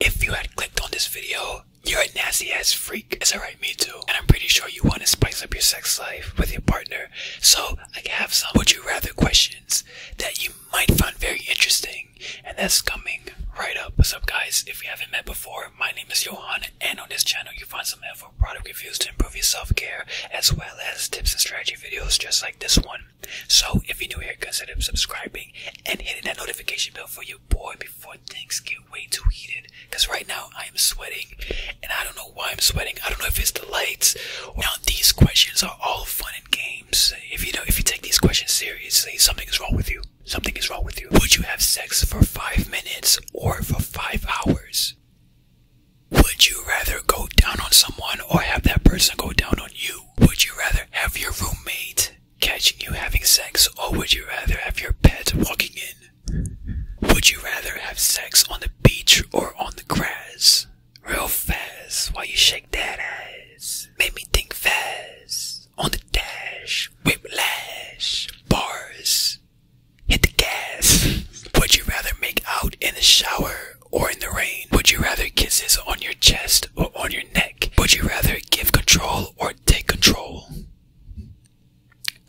If you had clicked on this video, you're a nasty ass freak. It's alright, me too. And I'm pretty sure you want to spice up your sex life with your partner. So I have some would you rather questions that you might find very interesting. And that's coming right up. What's up guys? If you haven't met before, my name is Johan and on this channel you find some helpful product reviews to improve your self-care as well as tips and strategy videos just like this one. So if you're new here, consider subscribing and hitting that notification bell for your boy before things get way too heated. Cause right now I am sweating and I don't know why I'm sweating. I don't know if it's the lights. Now these questions are all fun and games. If you know if you take these questions seriously, something is wrong with you. Something is wrong with you. Would you have sex for five minutes or for five hours? Would you rather go down on someone or have that person go down on you? Would you rather have your roommate catching you having sex or would you rather have your pet walking in? Would you rather have sex on the beach or on the grass? Real fast while you shake that ass. Make me think fast. On the dash, whip lash bars, Hit the gas. Would you rather make out in the shower or in the rain? Would you rather kisses on your chest or on your neck? Would you rather give control or take control?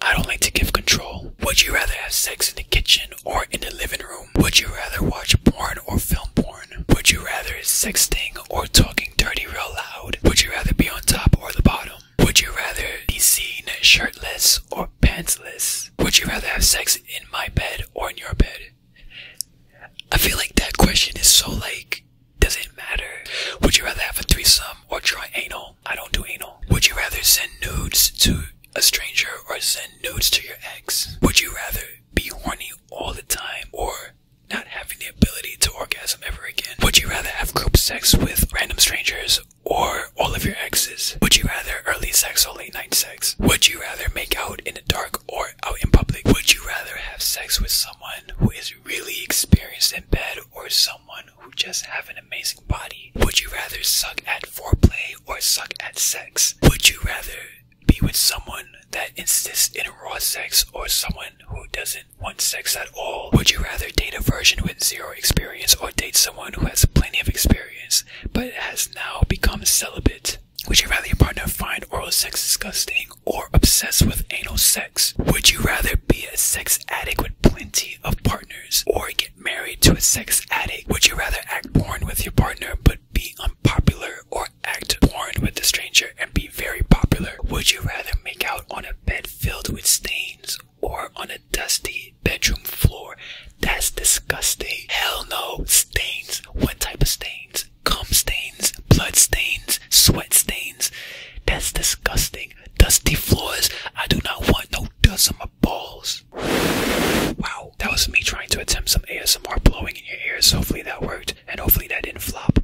I don't like to give control. Would you rather have sex in the kitchen or in the living room? Would you rather watch porn or film porn? Would you rather sexting or talking dirty real loud? Would you rather be on top or the bottom? Would you rather be seen shirtless or pantsless? Would you rather have sex in my bed or in your bed? I feel like that question is so like, does it matter? Would you rather have a threesome or try anal? I don't do anal. Would you rather send nudes to a stranger or send nudes to your ex? Would you rather be horny all the time or not having the ability to orgasm ever again? Would you rather have group sex with random strangers or all of your exes? Would you rather early sex or late night sex? Would you rather make out in the dark or out in public? Would you rather have sex with someone who is really experienced in bed or someone who just have an amazing body? Would you rather suck at foreplay or suck at sex? Would you rather be with someone that insists in raw sex or someone who doesn't sex at all. Would you rather date a virgin with zero experience or date someone who has plenty of experience but has now become celibate? Would you rather your partner find oral sex disgusting or obsessed with anal sex? Would you rather be a sex addict with plenty of partners or get married to a sex addict? Would you rather act porn with your partner but be unpopular or act porn with a stranger and be very popular? Would you rather make out on a bed filled with stains or on a dusty bedroom floor. That's disgusting. Hell no. Stains. What type of stains? Cum stains, blood stains, sweat stains. That's disgusting. Dusty floors. I do not want no dust on my balls. Wow, that was me trying to attempt some ASMR blowing in your ears. Hopefully that worked, and hopefully that didn't flop.